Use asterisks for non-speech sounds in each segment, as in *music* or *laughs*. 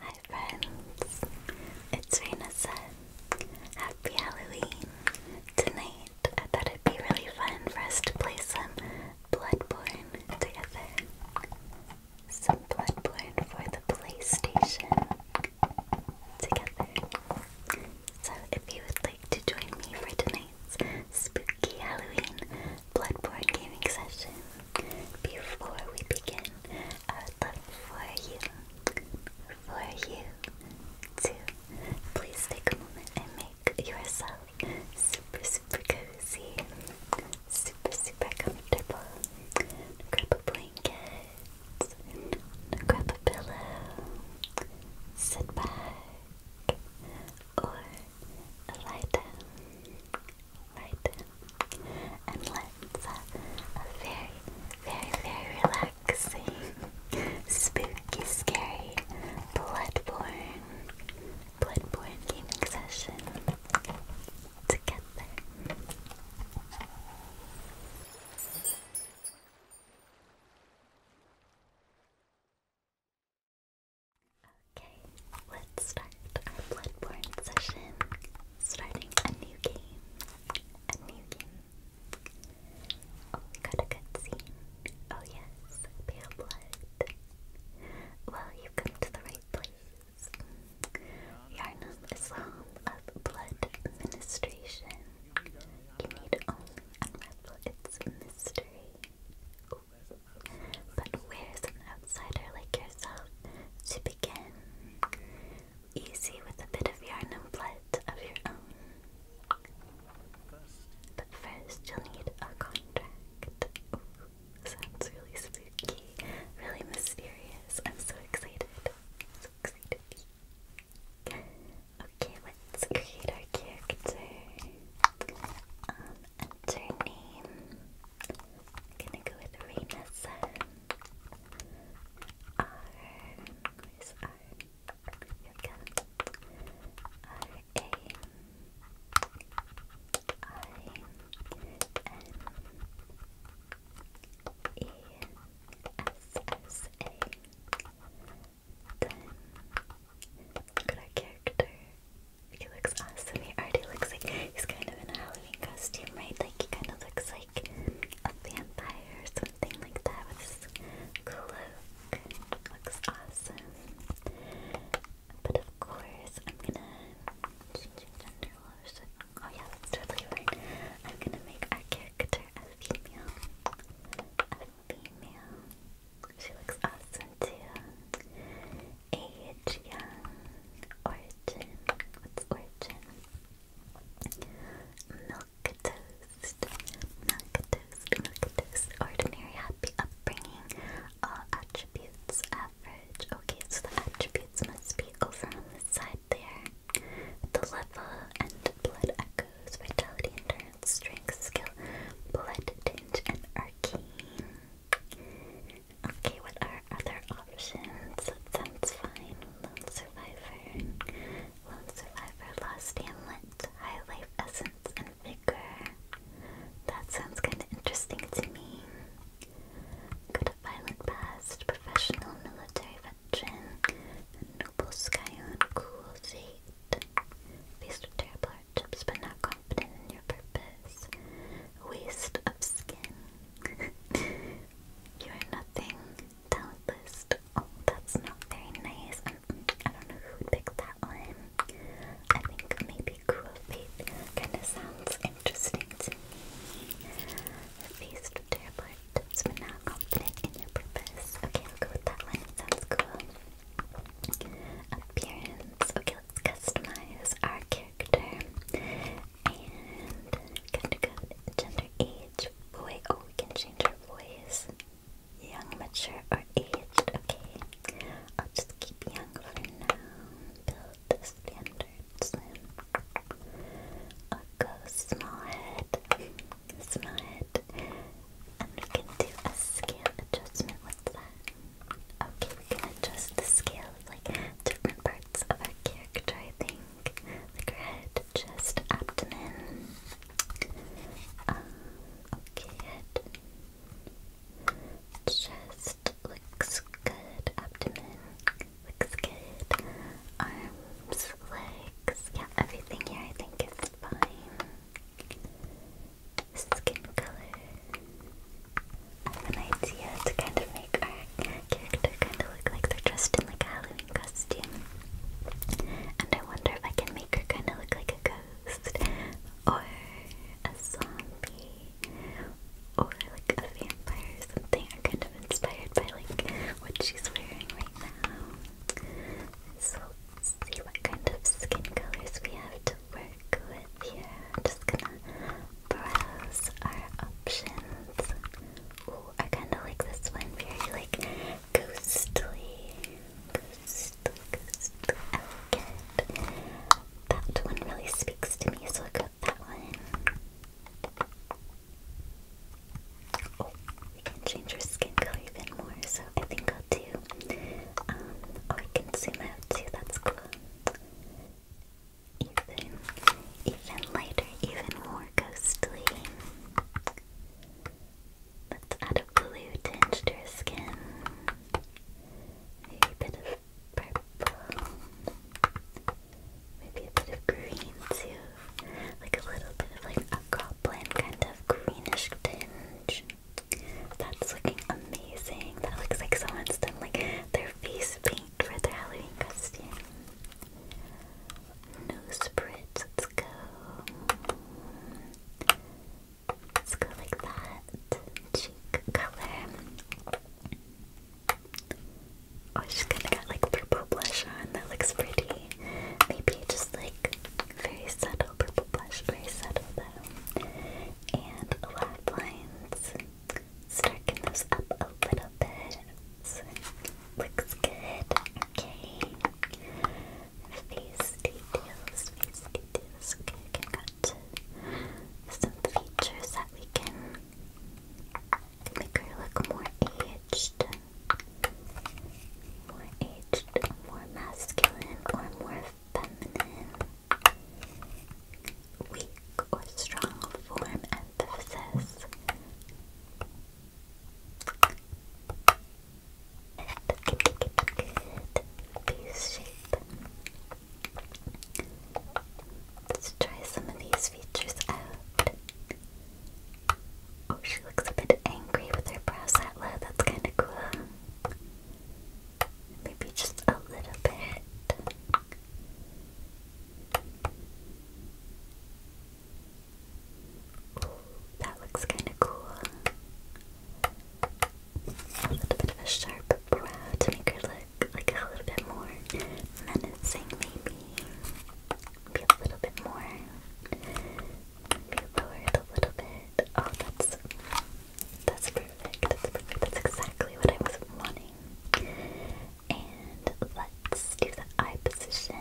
Hi friends, it's Raina Happy Halloween! Tonight I thought it'd be really fun for us to play some Bloodborne together. Some Bloodborne for the PlayStation together. So if you would like to join me for tonight's spooky Halloween Bloodborne gaming session, before we begin, I would love for you, for you to please take a moment and make yourself super, super cozy, super, super comfortable. Grab a blanket, grab a pillow, sit back, or lie down, lie and let's have a very, very, very relaxing, spooky, scary, bloodborne. Bloodborne gaming session together. Okay, let's start our Bloodborne session. Starting a new game. A new game. Oh, we got a Oh yes, pale blood it. Well, you've come to the right place. Yarnum is of blood ministration. You need only unravel its mystery. But where's an outsider like yourself to begin? Easy with a bit of Yarnum blood of your own. But first, you'll need a contract. Sounds really spooky, really mysterious. I'm so excited. So excited. Okay, let's create our character. enter um, name. gonna go with Raina R. A I N E S S A. Then look character. He looks awesome. He already looks like he's kind of in a Halloween costume, right? Like he kind of looks like a vampire or something like that with his cloak. Looks awesome. But of course, I'm gonna change gender Oh yeah, that's totally fine. I'm gonna make our character a female. A female. She looks awesome too. Age, young, origin. What's origin? Milk toast. Milk toast. Milk toast. Ordinary, happy upbringing. All attributes. Okay, so the attributes must be over on this side there. The level and blood echoes, vitality, endurance, strength, skill, blood tinge, and arcane. Okay, what are other options? That sounds fine. Lone survivor, lone survivor, lost amulet, high life essence, and that sounds kinda interesting to me. Got a violent past, professional military veteran, noble scion, cool seat. Faced with terrible hardships but not confident in your purpose. Waste of skin. *laughs* you are nothing. Talentless. Oh, that's not very nice. I don't know who would pick that one. I think maybe Quillbait kind of sounds interesting to me. Feast to your part, but now in your purpose. Okay, I'll go with that one. sounds cool. Appearance. Okay, let's customize our character. And gender gender, age, boy. Oh, we can change our voice. Young, mature, or aged. Okay, I'll just keep young for now. Build the standards and go small head, small head, and we can do a scale adjustment with that. Okay, we can adjust the scale of like different parts of our character, I think, like head, chest, abdomen. Um, okay, head, chest looks good, abdomen looks good, arms, legs, yeah, everything here I think is fine. Skin color. I have an idea to kind of make our character kind of look like they're dressed in like a Halloween costume. And I wonder if I can make her kind of look like a ghost or a zombie or like a vampire or something are kind of inspired by like what she's wearing right now. So let's see what kind of skin colors we have to work with here. I'm just gonna browse our options. Ooh, I kinda like this one, very like ghostly, ghostly, ghostly, elegant that one really speaks to me, so I'll go with that one. Oh, we can change our skin color even more, so I think I'll do. oh, I can zoom out too, that's cool. Even, even lighter, even more ghostly. Let's add a blue tinge to her skin. a bit of purple. Maybe a bit of green too. Like a little bit of like a goblin kind of greenish tinge. That's looking amazing. That looks like someone's done like their face paint for their Halloween costume. Nose spritz, let's go. Let's go like that. Cheek color. Oh, she's gonna get like purple blush on. That looks pretty. Maybe just like very subtle purple blush, very subtle though. And black lot of lines. Starken those up a little bit. So, looks good. Okay. Face details, face details. Okay, okay, got some features that we can make her look more aged, more aged, more masculine, or more feminine. Weak or strong form emphasis. Good, shape. Let's try some of these features out. Oh, she looks a bit angry with her brow satla. That's kind of cool. Maybe just a little bit. Ooh, that looks kind of cool. A little bit of a sharp the brow to make her look like a little bit more menacing, maybe. Maybe a little bit more. Maybe lower it a little bit. Oh, that's that's perfect. That's perfect. That's exactly what I was wanting. And let's do the eye position.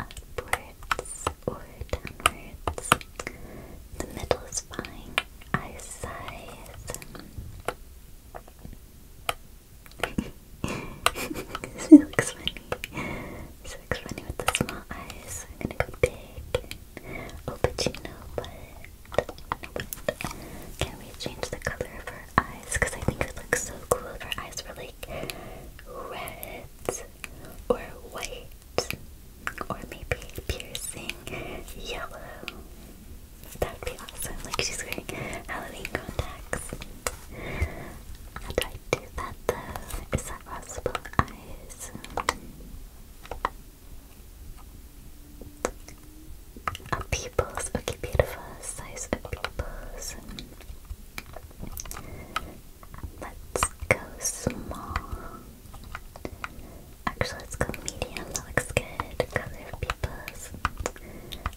Upwards or downwards. The middle is fine. Eye size she looks funny. She funny with the small eyes. I'm gonna go big. Oh, but you know what? No, Can we change the color of her eyes? Because I think it looks so cool if her eyes were like red or white or maybe piercing yellow. That would be awesome. Like she's wearing Halloween contacts. How do I do that though? Is that possible? Eyes. Oh, pupils. Okay, beautiful. Size of pupils. Let's go small. Actually, let's go medium. That looks good. Color peoples.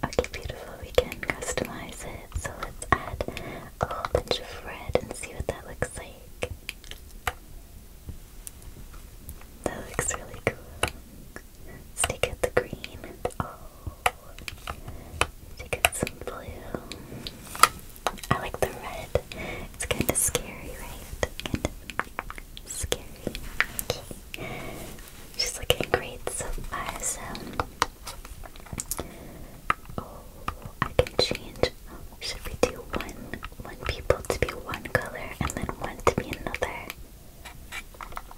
Okay, beautiful. We can customize it. So let's add a bunch of red and see what that looks like. That looks really cool. Let's the green. Oh. Take out some blue. I like the red. It's kind of scary, right? Kind She's looking great so oh, I can change. Should we do one one people to be one color and then one to be another?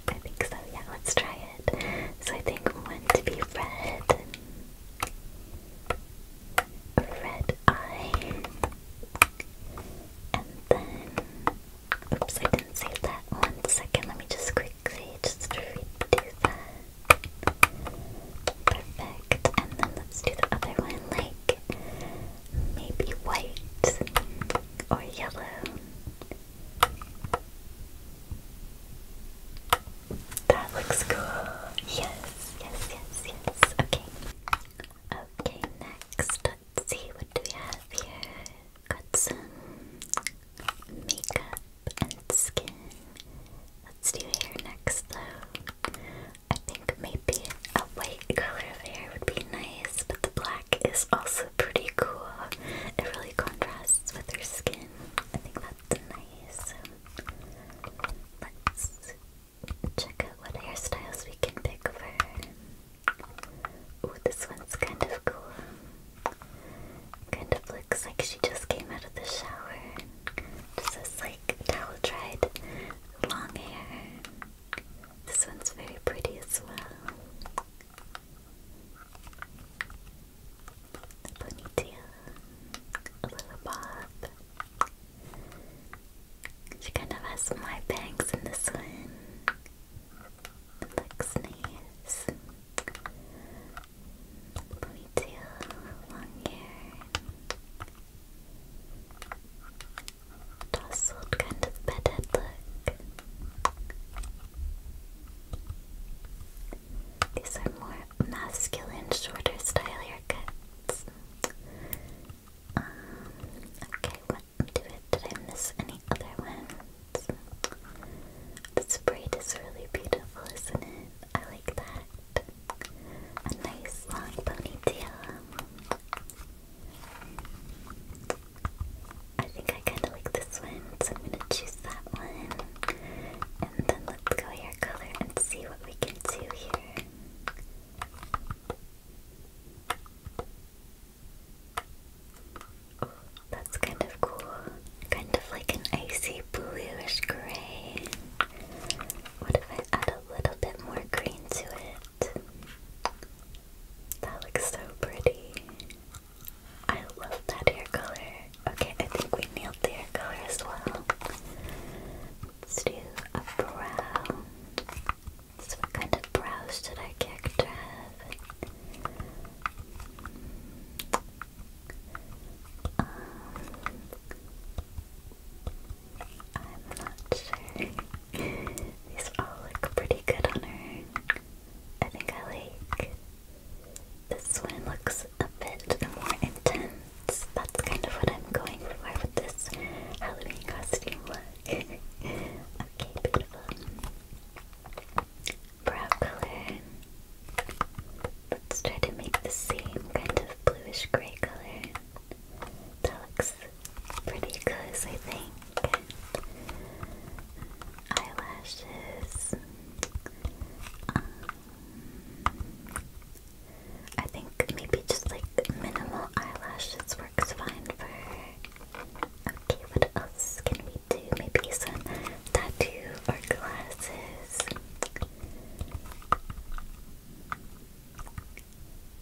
I think so, yeah, let's try it. So I think one to be red. Red eye. And then Oops, I didn't save that. One second, let me just quickly just redo that. Perfect. And then let's do the other one, like maybe white or yellow. That looks cool. Yes, yes, yes, yes. Okay. Okay, next Let's see what do we have here. Got some makeup and skin. Let's do hair next though. I think maybe a white color of hair would be nice, but the black is also pretty cool. It really contrasts with her skin. I think that's nice. Let's check out what hairstyles we can pick for her. Oh, this one's kind of cool. Kind of looks like she just came out of the shower. Just has like towel dried long hair. This one's very pretty as well. ponytail, a little bob, she kind of has more bangs in the sun. looks nice. Ponytail, long hair. Tousled kind of bedded look. These are more masculine, shorter style haircuts. Um, okay, did I miss any other ones? This braid is really beautiful, isn't it? I like that. A nice long ponytail. I think I kind of like this one, so I'm gonna choose that one. And then let's go hair color and see what we can do here that's kind of cool. Kind of like an icy bluish gray. What if I add a little bit more green to it? That looks so pretty. I love that hair color. Okay, I think we nailed the hair color as well. Let's do a brow. So what kind of brows did our character have? I'm not sure. These all look pretty good on her. I think I like this one looks a bit more intense. That's kind of what I'm going for with this Halloween costume okay, beautiful. Brow color. Let's try to make the same kind of bluish gray color. That looks pretty close, I think. Eyelashes. Um, I think maybe just like minimal eyelashes works fine for Okay, what else can we do? Maybe some tattoo or glasses.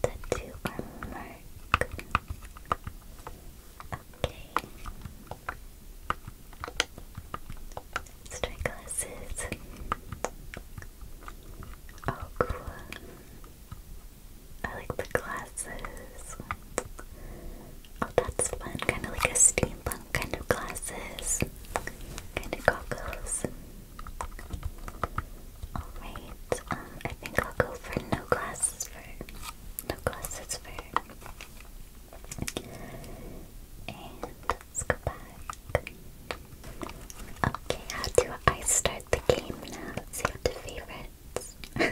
Tattoo or mark. Okay. let Oh, cool. I like the glasses. Oh, that's fun. Kind of like a steampunk kind of glasses. Kind of goggles. Alright, um, I think I'll go for no glasses for no glasses for and let's go back. Okay, how do I start the game now? Save to favorite. *laughs* you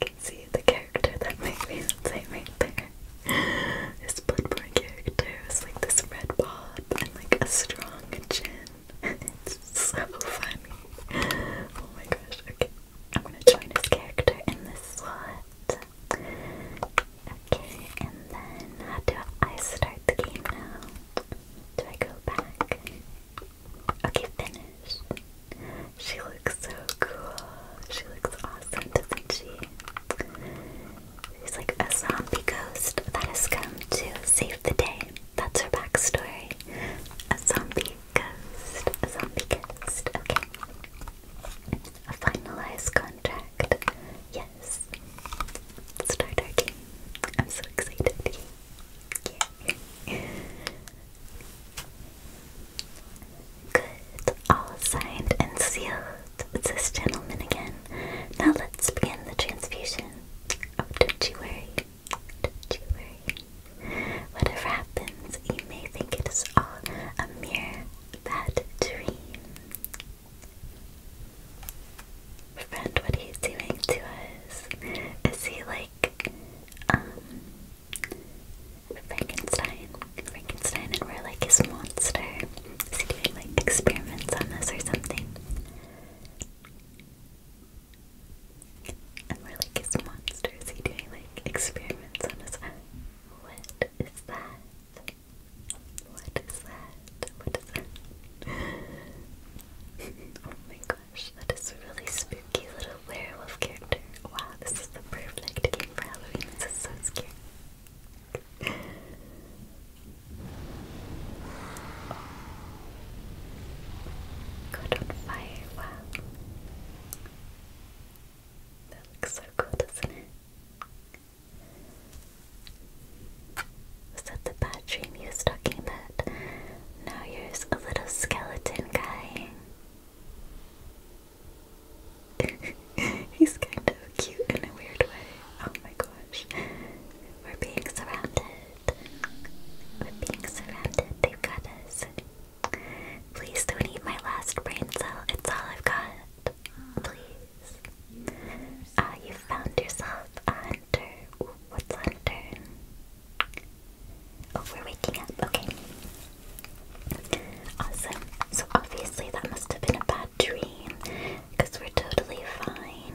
can see the character that my fiance made there. His Bloodborne character was like this red bob and like a strong chin. *laughs* it's so funny. Oh my gosh, okay. I'm gonna join his character in this slot. Okay, and then do I start the game now? Do I go back? Okay, finish. She looks so cool. She looks awesome, doesn't she? She's like a zombie ghost that has come to save the day. That's her backstory. A zombie ghost. A zombie ghost. Okay. A finalized contract. Yes. Start our game. I'm so excited. Good. All signed and sealed. It's this gentleman again. Now let's begin the transfusion. Oh, don't you worry. Don't you worry. Whatever happens, you may think it is all a mere bad dream. Friend, what he's doing to us. Is he like Frankenstein, Frankenstein and we're like his monster. Is doing like experiments on us or something? And we're like his monster. Is doing like experiments on us? What is that? What is that? What is that? *laughs* oh my god that is a really spooky little werewolf character. Wow, this is the perfect game for Halloween. This is so scary. Caught on fire, wow. That looks so cool, doesn't it? Was that the battery he was talking about? Now you here's a little skeleton guy. *laughs* He's kind of cute in a weird way. Oh my gosh. We're being surrounded. We're being surrounded. They've got us. Please don't eat my last brain cell. It's all I've got. Please. Ah, you found yourself a what's hunter? Oh, we're waking up. Okay. Awesome. So obviously that must have been a bad dream because we're totally fine.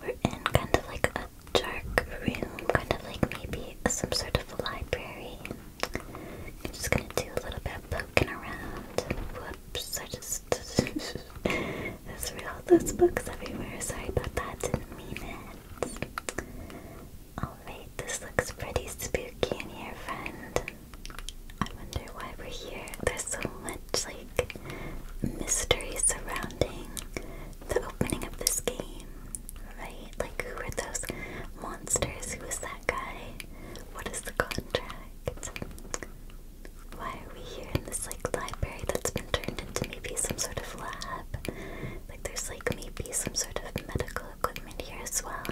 We're in kind of like a dark room, kind of like maybe some sort of library. I'm just gonna do a little bit of poking around. Whoops, I just. *laughs* threw all those books everywhere. Sorry about that, didn't mean it. Oh, Alright, this looks pretty spooky in here, friend. I wonder why we're here. There's so much, like, mystery surrounding the opening of this game, right? Like, who were those monsters? Who that guy? What is the contract? Why are we here in this, like, library that's been turned into maybe some sort of lab? Like there's like maybe some sort of medical equipment here as well.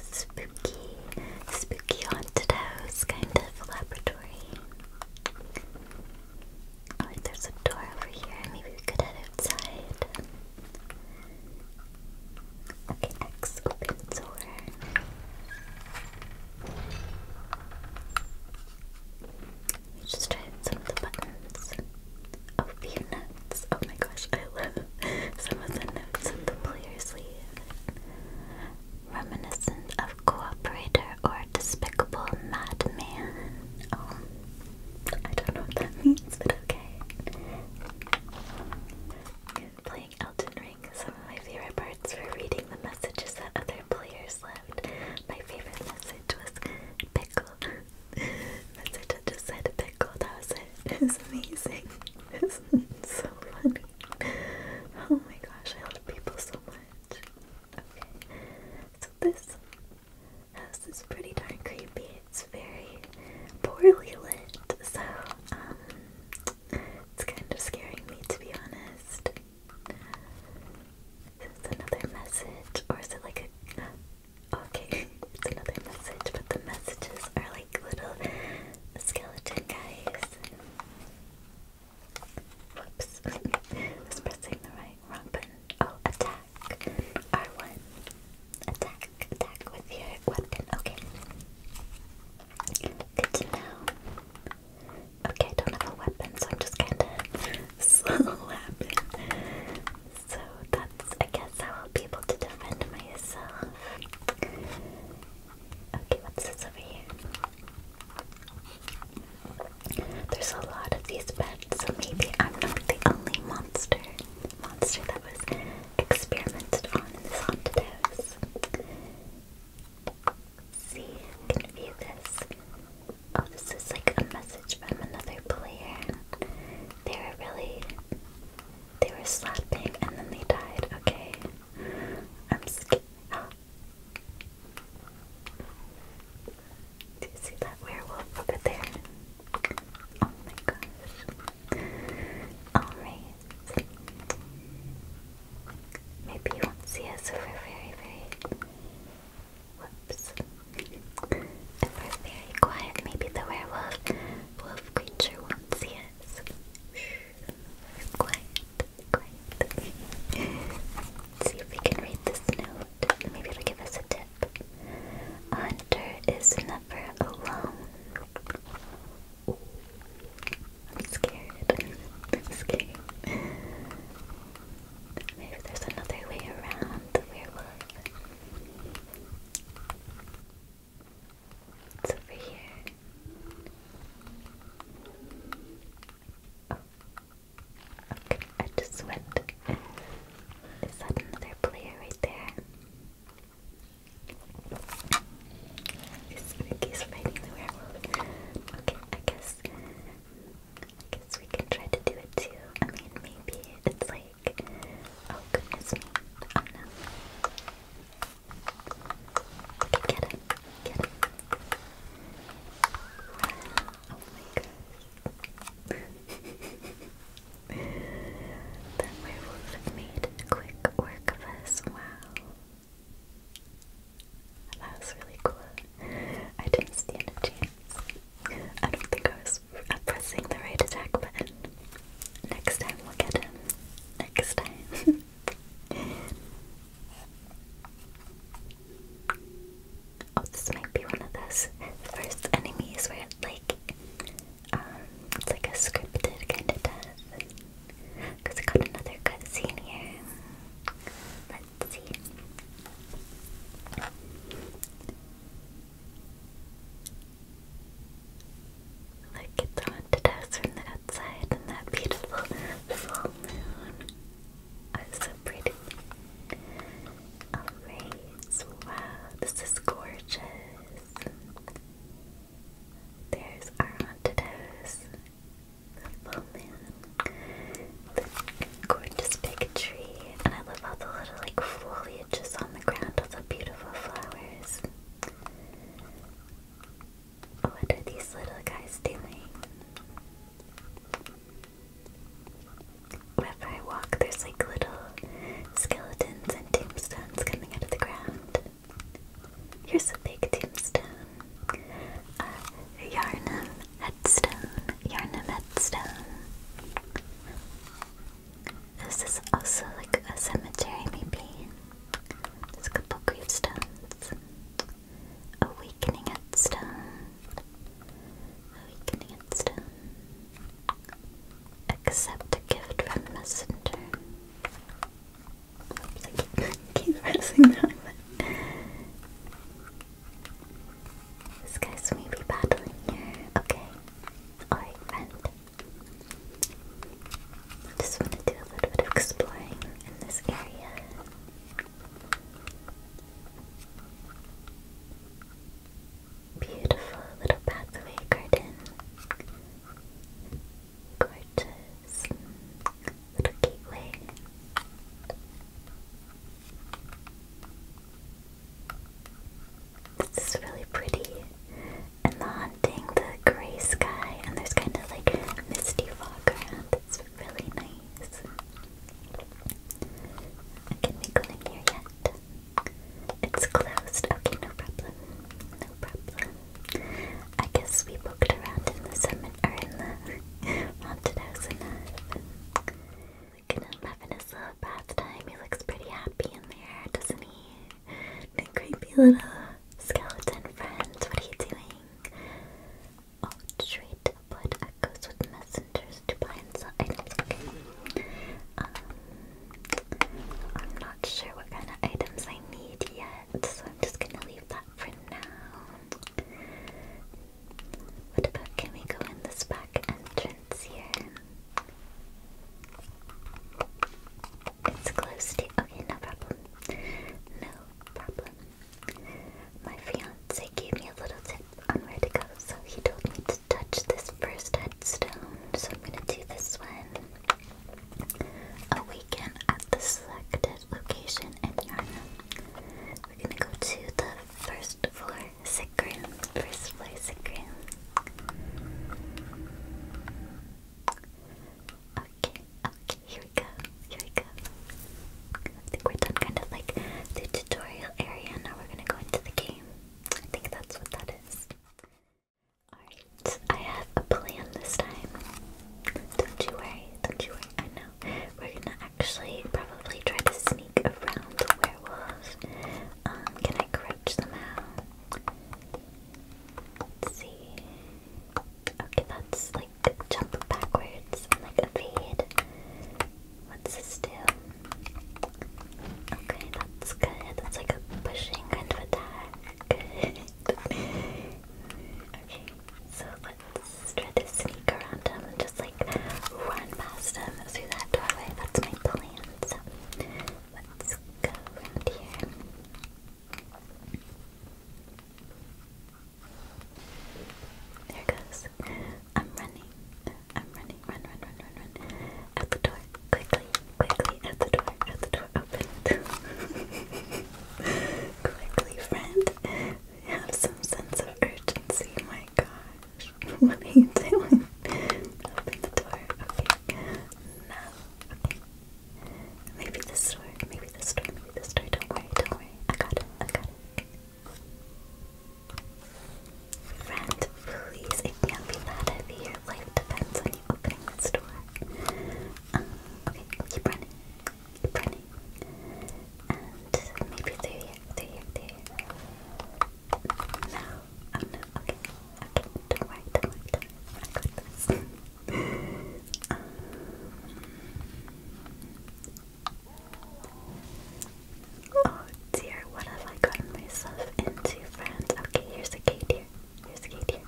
Spooky, spooky haunted house kind of laboratory. Oh, there's a door over here. Maybe we could head outside. Okay, X open door. You just tried some of the buttons. Oh, the Oh my gosh, I love some of the notes of the player's leave. Reminiscent of cooperator or despicable madman. Oh, I don't know what that means, but okay. Playing Elden Ring, some of my favorite parts were reading the messages that other players left. My favorite message was Pickle. *laughs* That's it, I just said pickle, that was it. *laughs* It's amazing. *laughs* It's so funny. Oh my gosh, I love people so much. Okay, so this house is pretty darn creepy. It's very poorly lit, so um, it's kind of scaring me to be honest. Is another message, or is it like a? Okay, it's another message, but the messages are like little skeleton guys. Whoops! *laughs* was pressing the right wrong button. Oh, attack! R one. Attack! Attack with your weapon. Okay. Good to Okay, don't have a weapon, so I'm just kinda slapping. So that's, I guess, how I'll be able to defend myself. Okay, what's this over here? There's a lot of these pets, so maybe I'm not the only monster monster that was experimented on in this haunted house. can view this. Oh, this is like a message from another player. They were really. They were slapping and then they died. Okay. I'm scared. Do you see that werewolf over there? Oh my gosh. Alright. Maybe you won't see us for very, very Whoops. And are very quiet. Maybe the werewolf wolf creature won't see us. quiet, quiet. see if we can read this note. Maybe it give us a tip. hunter is never alone. I'm scared. scared. Maybe there's another way around the werewolf. It's over here. Oh. Okay, I just went. Is another player right there? Is Ricky's fighting the werewolf? Okay, I guess I guess we can try to do it too. I mean, maybe it's like, oh goodness me, oh no. get it, get it. Oh my gosh. *laughs* that werewolf made quick work of us, wow. That was really cool. I didn't stand a I don't think I was pressing the right attack button. Next time we'll get him. Next time. *laughs* oh, this might be one of those first enemies where like um it's like a scripted kind of death. Cause I got another cutscene here. But let's Look at the haunted house from the outside and that beautiful full moon. Oh, so pretty. Alright, wow, this is gorgeous. There's our haunted house. full moon. Gorgeous big tree, and I love all the little like foliage is on the ground with the beautiful flowers. What are these little guys doing? Wherever I walk, there's like little skeletons and tombstones coming out of the ground. Here's a big tombstone. Uh, Yarnum headstone, you're in Yarnum headstone. This is also like a cemetery, maybe. There's a couple gravestones. Awakening headstone. Awakening headstone. Accept a gift from messenger. Oops, *laughs* keep, pressing that this guy's maybe battling here. Okay. Alright, friend. just want to do a little bit of exploring in this area. Beautiful little pathway garden. Gorgeous little gateway. This is really pretty. And the haunting, the gray sky, and there's kind of like misty fog around. It's really nice. Can we go in here yet? It's closed. Okay, no problem. No problem. I guess we booked around in the summit or in the *laughs* haunted house enough. Looking at bath time. He looks pretty happy in there, doesn't he? My creepy little skeleton friend. What are you doing? Oh, treat blood echoes with messengers to blind so items. Um, I'm not sure what kind of items I need yet, so I'm just gonna leave that for now. What about can we go in this back entrance here? It's close Okay, no problem. No problem. My fiance gave me a little tip on where to go, so he told me to touch this first headstone, so I'm gonna do this one. Awaken at the selected location in Yarna. We're gonna go to the first floor second, room. First floor second. room. Okay, okay, here we go. Here we go. I think we're done kind of like the tutorial area. Now we're gonna go into the game. I think that's what that is. Alright, I have a plan this time. Don't you worry, don't you worry. I know. We're gonna actually probably try to sneak around the werewolves. Um, can I crouch somehow? Let's see. Okay, that's like jump backwards and like evade. What's this do? Okay, that's good. That's like a pushing kind of attack. *laughs* okay, so let's try to sneak around him and just like run past him through that doorway. That's my plan. So let's go around here. There goes. I'm running. I'm running. Run, run, run, run, run. Out the door. Quickly, quickly. Out the door. Out the door. Open. *laughs* quickly, friend. Have some sense of urgency, my my gosh. *laughs* What are you doing? Open the door. Okay. No. Okay. Maybe this door. Maybe this door. Maybe this door. Don't worry. Don't worry. I got it. I got it. Friend, please. It can't be that heavy. Your life depends on you opening this door. Um, okay. Keep running. Keep running. And maybe through here. Through here. Through here. Oh Okay. dear. What have I gotten myself into, friends? Okay. Here's the key, here. Here's the key, here.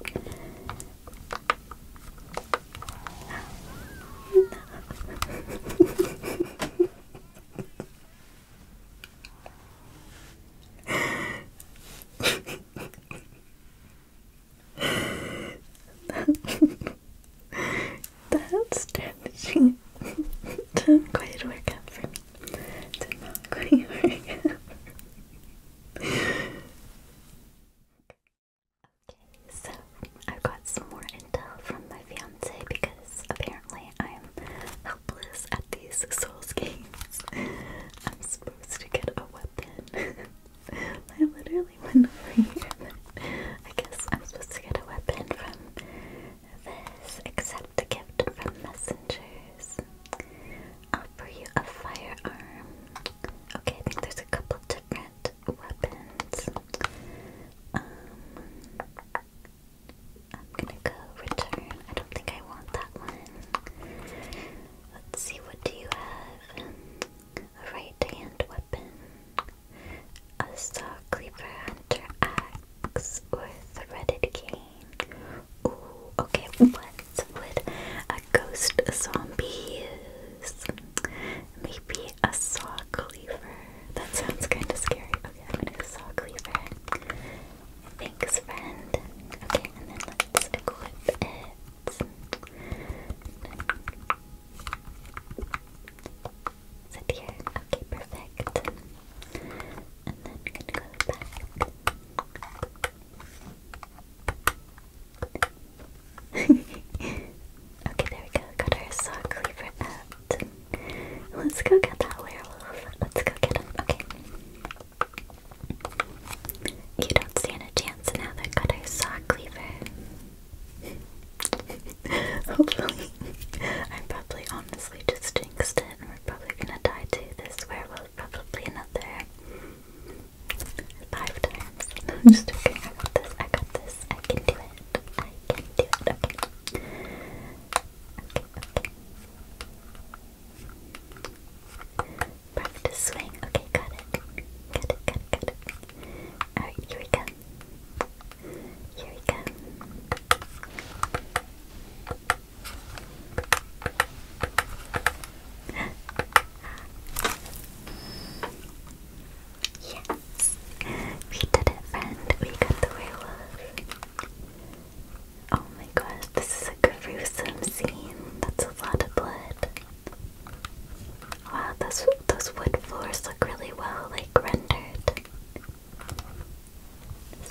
That's damaging. *laughs* didn't quite work out for me. Did not quite work *laughs* Okay, so I've got some more intel from my fiance because apparently I'm helpless at these Souls games. *laughs* I'm supposed to get a weapon. *laughs* I literally went over I guess I'm supposed to get a weapon from this. Accept a gift from messengers. Offer you a firearm. Okay, I think there's a couple different weapons. Um, I'm gonna go return. I don't think I want that one. Let's see, what do you have? A right hand weapon, a saw, cleaver, hunter axe, or threaded cane. Ooh, okay, what would a ghost zombie use? Maybe a saw cleaver. That sounds kind of scary. Okay, I'm gonna go saw cleaver. Thanks, friend. Okay, and then let's equip it. Is it here? Okay, perfect. And then I'm gonna go back. *laughs* okay, there we go. Got our saw cleaver up. Let's go get that werewolf. Let's go get him. Okay. You don't stand a chance now that got our saw cleaver. *laughs* Hopefully. I'm probably honestly just jinxed we're probably gonna die to this werewolf probably another five times. just joking. I got this. I got this. I can do it. I can do it. Okay. Okay, okay. Perfect to swing. Okay, got it. Got it, got Alright, here we go. Here we go. *gasps* yes! We did it, friend. We got the werewolf. Oh my gosh, this is a gruesome scene. That's a lot of blood. Wow, those, those wood floors look really well, like, rendered.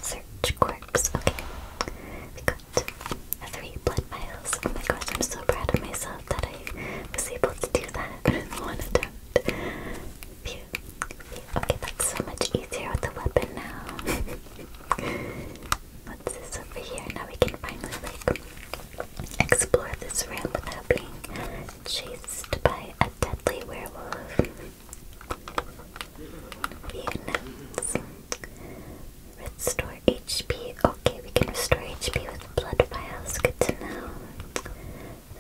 Search corpse, okay. We three blood vials. Oh my gosh, I'm so proud of myself that I was able to do that in one attempt. Okay, that's so much easier with the weapon now. *laughs* What's this over here? Now we can finally like explore this room without being chased by a deadly werewolf. Units. Restore HP. Okay, we can restore HP with blood vials. Good to know.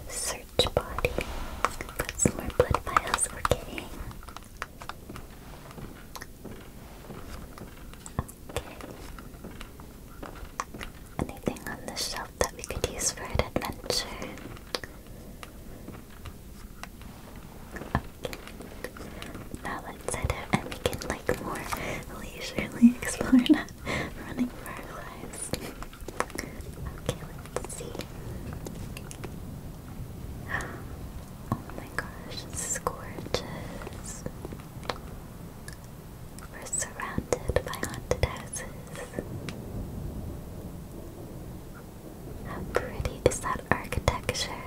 Search body. Got some more blood vials. we Anything on the shelf that we could use for an adventure? Okay. Now let's head out and we can like more leisurely *laughs* explore, not running for our lives. Okay, let's see. Oh my gosh, this is gorgeous. We're surrounded by haunted How pretty is that architecture?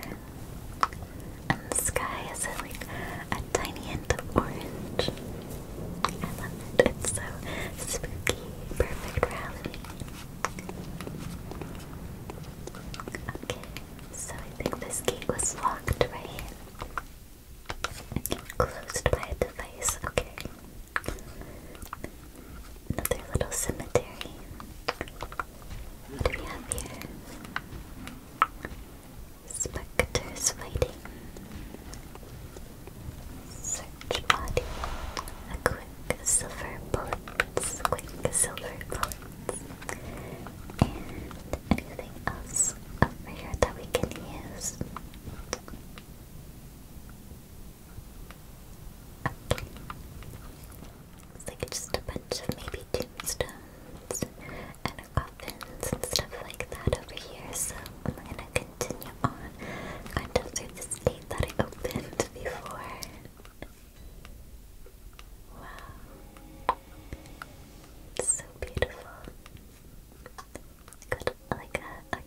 And the sky is like a tiny hint of orange. I love it. It's so spooky. Perfect for Okay, so I think this gate was locked, right? Closed by a device, okay. Another little cemetery. What do we have here? Spectres fighting orange body. A quick silver bullets, quick silver bullets. And anything else over here that we can use? It's like just a bunch of maybe tombstones and coffins and stuff like that over here. So I'm gonna continue on kind the state that I opened before. Wow. so beautiful. Got like a,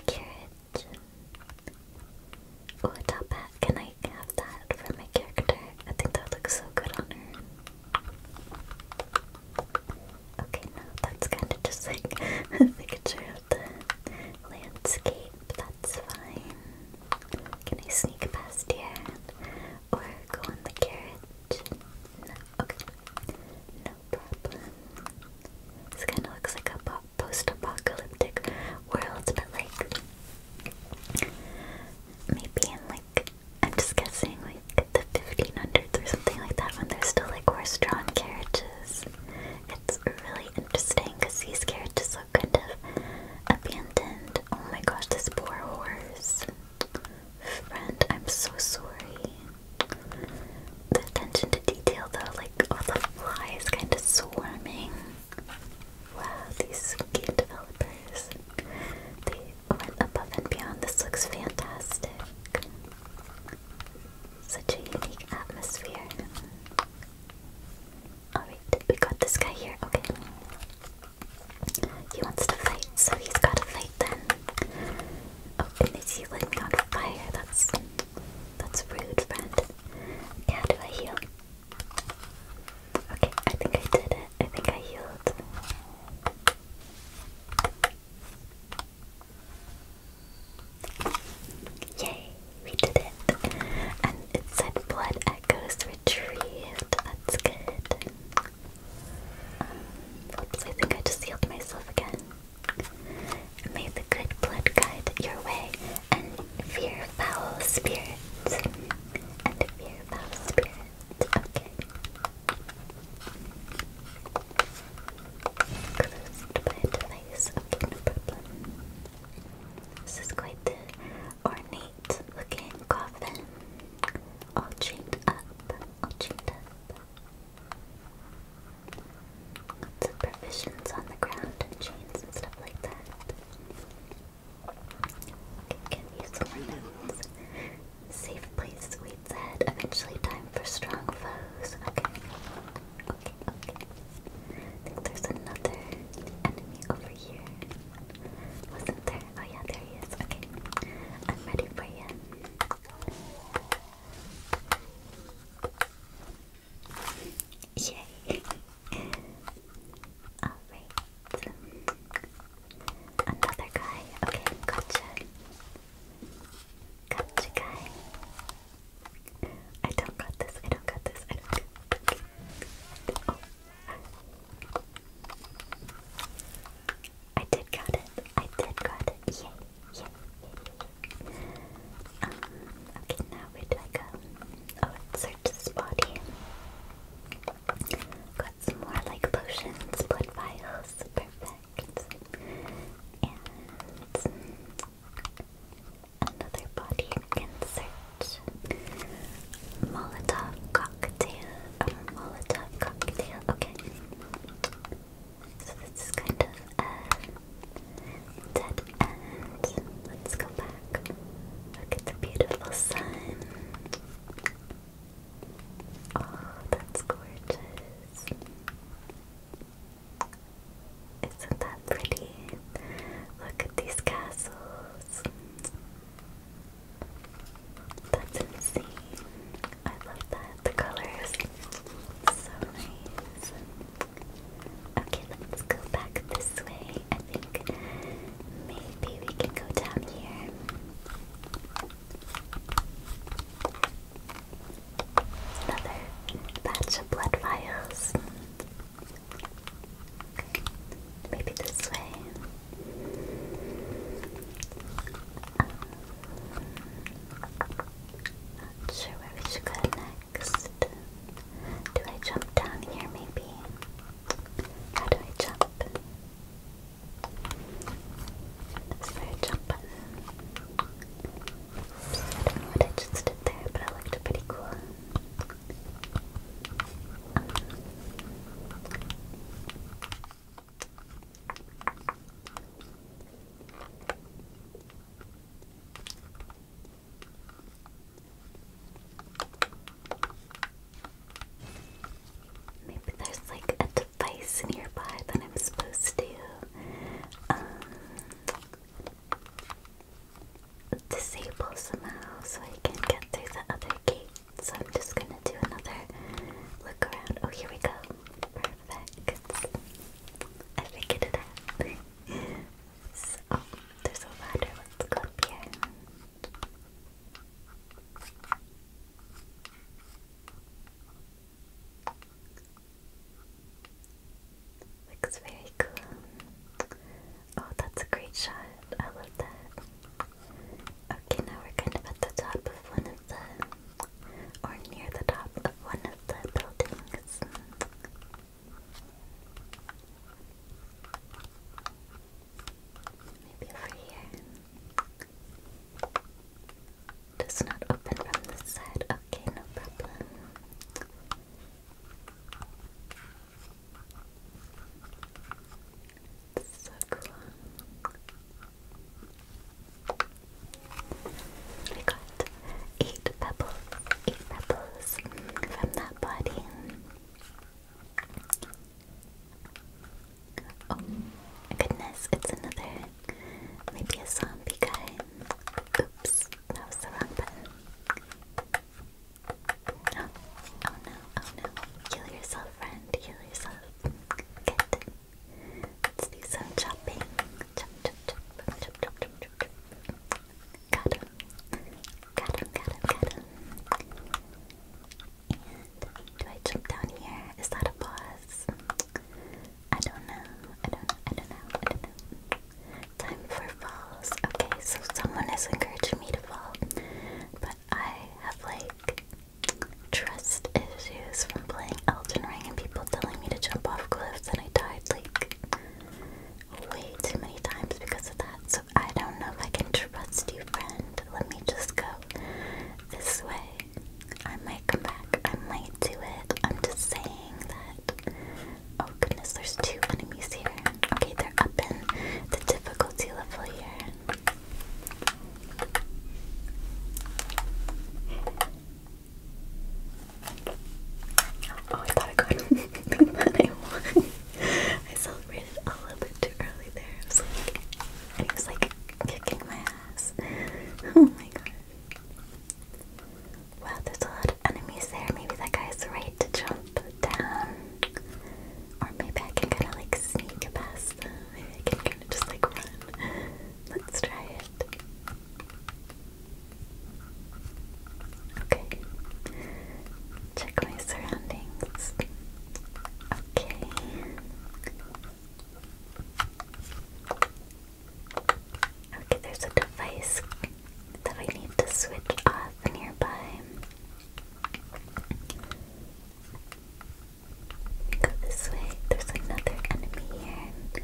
carriage. Oh, a top hat. Can I have that for my character? I think that looks so good on her. Okay, no, that's kind of just like *laughs* a picture of the landscape. It's fine. Can I sneak past here? Or go on the carriage? No, No problem. This kind of looks like a post-apocalyptic world, but like... Maybe in like... I'm just guessing like the 1500s or something like that when there's still like horse-drawn carriages. It's really interesting because these carriages also kind of abandoned. Oh my gosh, this poor horse. Friend, I'm so sorry. The attention to detail though, like all the flies kind of swarming. Wow, these game developers. They went above and beyond. This looks fantastic. Such a unique atmosphere. Alright, we got this guy here, okay. He wants to fight, so he's gotta fight then. Oh, and is he letting me fire? That's that's rude, friend. Okay, do I heal? Okay, I think I did it. I think I healed. Yay! We did it. And it said blood echoes retrieved. That's good. Um, oops, I think I just healed myself again. May the good blood guide your way and fear foul spirits. And fear foul spirits. Okay. Closed by a device. problem. This is quite the ornate looking coffin, all chained up, all chained up. Lots of provisions on the ground chains and stuff like that. Can give you some lemons. Safe place, sweet said. Eventually, time for strong foes. Okay. Okay, okay. I think there's another enemy over here. Wasn't there? Oh yeah, there he is. Okay. I'm ready for you. Yay! Alright. Another guy. Okay, gotcha. Gotcha guy. I don't got this. I don't got this. I don't. Got this. Oh. I did got it. I did got it. Yay! Yay! Um. Okay. Now where do I Oh, let's search this body. Got some more like potions, blood vials. Perfect. And another body insert. Molotov cocktail. Molotov cocktail. Okay. So this is kind of a uh, dead end. Let's go back. Look at the beautiful sun. Oh, that's gorgeous. Isn't that pretty? Look at these castles. That's insane. I love that. The colors. So nice. Okay, let's go back this way. I think maybe we can go down here. Another batch of blood vials. Maybe this way. not sure where we should go next. Do I jump down here maybe? How do I jump? Is there a jump I don't know I just did there, but it looked pretty cool. Maybe there's like a device nearby that I'm supposed to um, disable somehow so I can get through the other gate. So I'm just gonna do another look around. Oh, here we go. Perfect. I figured it out. so, there's a ladder. Let's go here. Looks very cool. Oh, that's a great shot. I love that. Okay, now we're kind of at the top of one of the, or near the top of one of the buildings. Maybe over here. Does not open from this side. Okay, no problem. It's so got eight pebbles, eight pebbles from that body. Oh goodness, it's another, maybe a zombie guy. Oops, that was the wrong button. Oh, oh no, oh no. Heal yourself, friend. kill yourself. Good. Let's do some chopping. Chop, chop, chop. Chop, chop, chop, chop, chop. Got him. Got him, got him, got him. do I jump down here? Is that a boss? I don't know. I don't I don't know. I don't know. Time for fall. Okay, so someone is encouraging me to fall, but I have like trust issues from playing Elden Ring and people telling me to jump off cliffs, and I died like way too many times because of that. So I don't know if I can trust you, friend. Let me just go this way. I might come back. I might do it. I'm just saying that. Oh goodness, there's two enemies here. Okay, they're up in the difficulty level here. Oh, I thought I could. *laughs* I, I celebrated a little bit too early there. I was like, I was like kicking my ass. Oh my god. Wow, there's a lot of enemies there. Maybe that guy's right to jump down. Or maybe I can kind of like sneak past them. Maybe I can kind of just like run. Let's try it. Okay. Check my surroundings. Okay. Okay, there's a device that I need to switch off nearby. Go this way. There's another enemy here.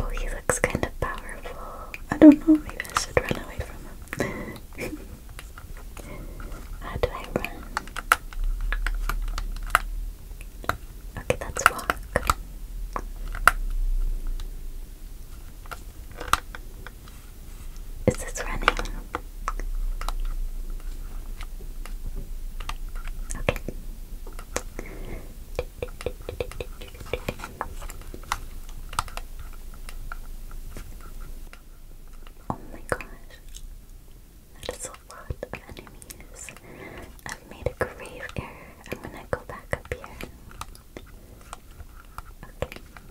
Oh, he looks kind of powerful. I don't know. Maybe I should run away from him. *laughs* How do I run? Okay, let's walk. Is this running? Okay. Oh my gosh. That is a lot of enemies. I've made a grave error. I'm gonna go back up here.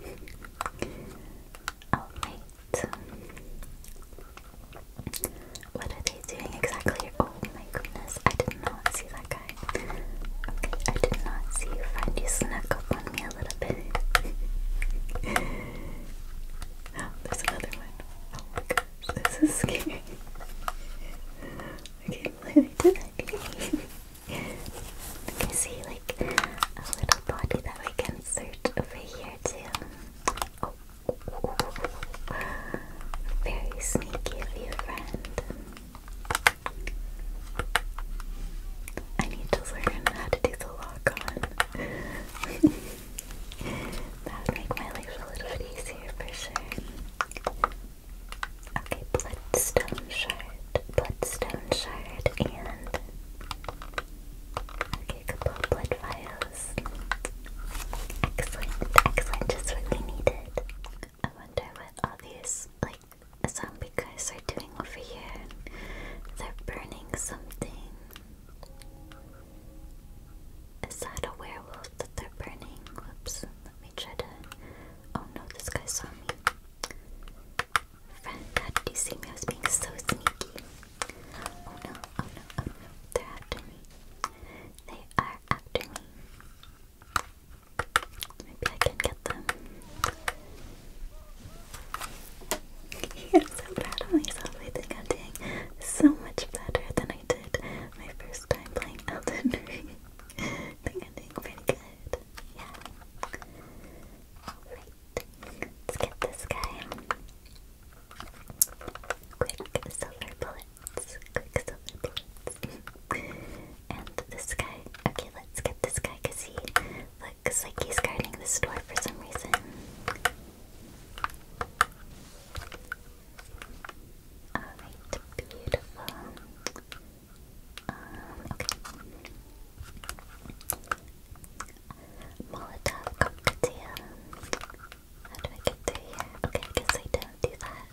Okay. *laughs* Oh my what are they doing exactly? Oh my goodness, I did not see that guy. Okay, I did not see you find you snuck up on me a little bit. *laughs* there's another one. Oh my gosh, this is scary. okay, why did I do *laughs* I see like a little body that we can search over here too. Very sneaky of friend. I need to learn how to do the lock on. *laughs* that would make my life a little bit easier for sure. Okay, bloodstone shard, bloodstone shard, and Okay, couple blood vials. Excellent, excellent, just what we needed. I wonder what all these, like, zombie guys are doing over here. They're burning something. Is that a werewolf that they're burning? Whoops, let me try to... Oh no, this guy saw me. Friend, how did you see me? I was being so sneaky. Oh no, oh no, oh They're after They are after Maybe I can get them. *laughs* I'm so proud of myself. I so much better than I did my first time playing Elden Ring. *laughs* I think good. Yeah. Let's get this guy. Quick silver bullets. Quick silver bullets. and this guy. Okay, let's get this guy he looks like he's guarding the store for some reason. Alright, beautiful. Um, okay. Molotov cocktail. How do I get through here? Okay, I I don't do that.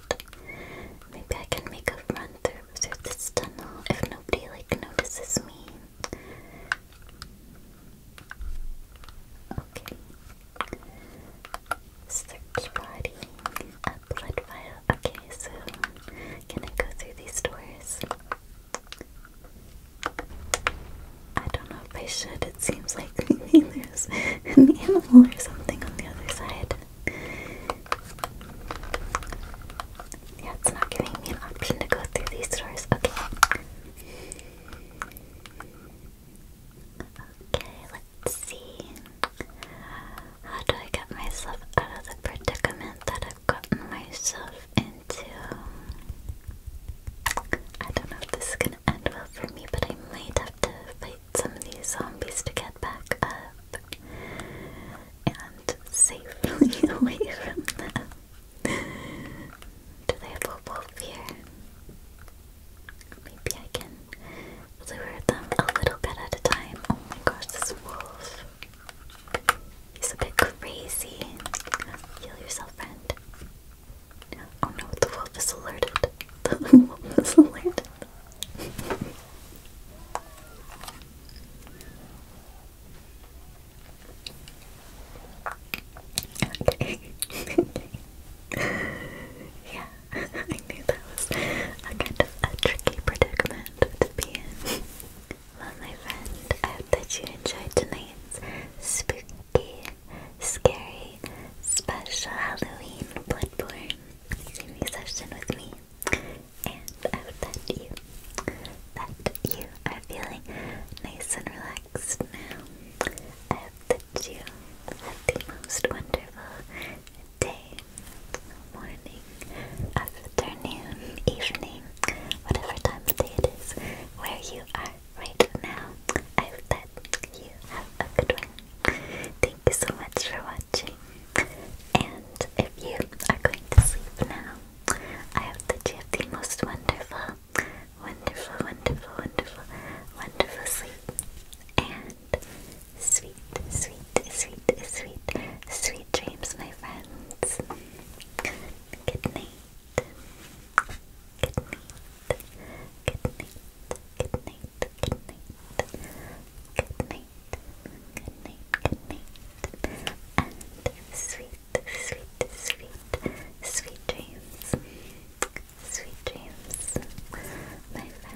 Maybe I can make a run through through this tunnel if nobody like notices me. Okay. Search body. Upload file. Okay, so can I go through these doors? I don't know if I should. It seems like *laughs* there's an animal or something on the other side. Yeah, it's not giving me an option to go through these doors. Okay. Okay, let's see. How do I get myself out of the predicament that i gotten myself into. I don't know if this is gonna end well for me, but I might have to fight some of these zombies to get back up and safely *laughs* away from them. Do they have wolf here? Maybe I can lure them a little bit at a time. Oh my gosh, this wolf. He's a bit crazy. Heal yourself, friend. Oh no, the wolf is alerted. *laughs* The wolf is alerted. *laughs* okay. *laughs* yeah, I knew that was a kind of a tricky predicament to be in. Well, my friend, I hope that you enjoyed tonight's spooky, scary, special Halloween Bloodborne streaming session with me. And I hope that you, that you are feeling nice and relaxed now. I hope that you have the most wonderful day, morning, afternoon, evening, whatever time of day it is where you are right now. I hope that you have a good one. Thank you so much for watching. And if you are going to sleep now, I hope that you have the most wonderful, wonderful, wonderful, wonderful, wonderful sleep. And sweet, sweet, sweet, sweet, sweet dreams, my friends. Good Good night. Good night. Good night. Good night. Good night. Good night. Good night. And sweet, sweet, sweet, sweet dreams. Sweet dreams, my friend.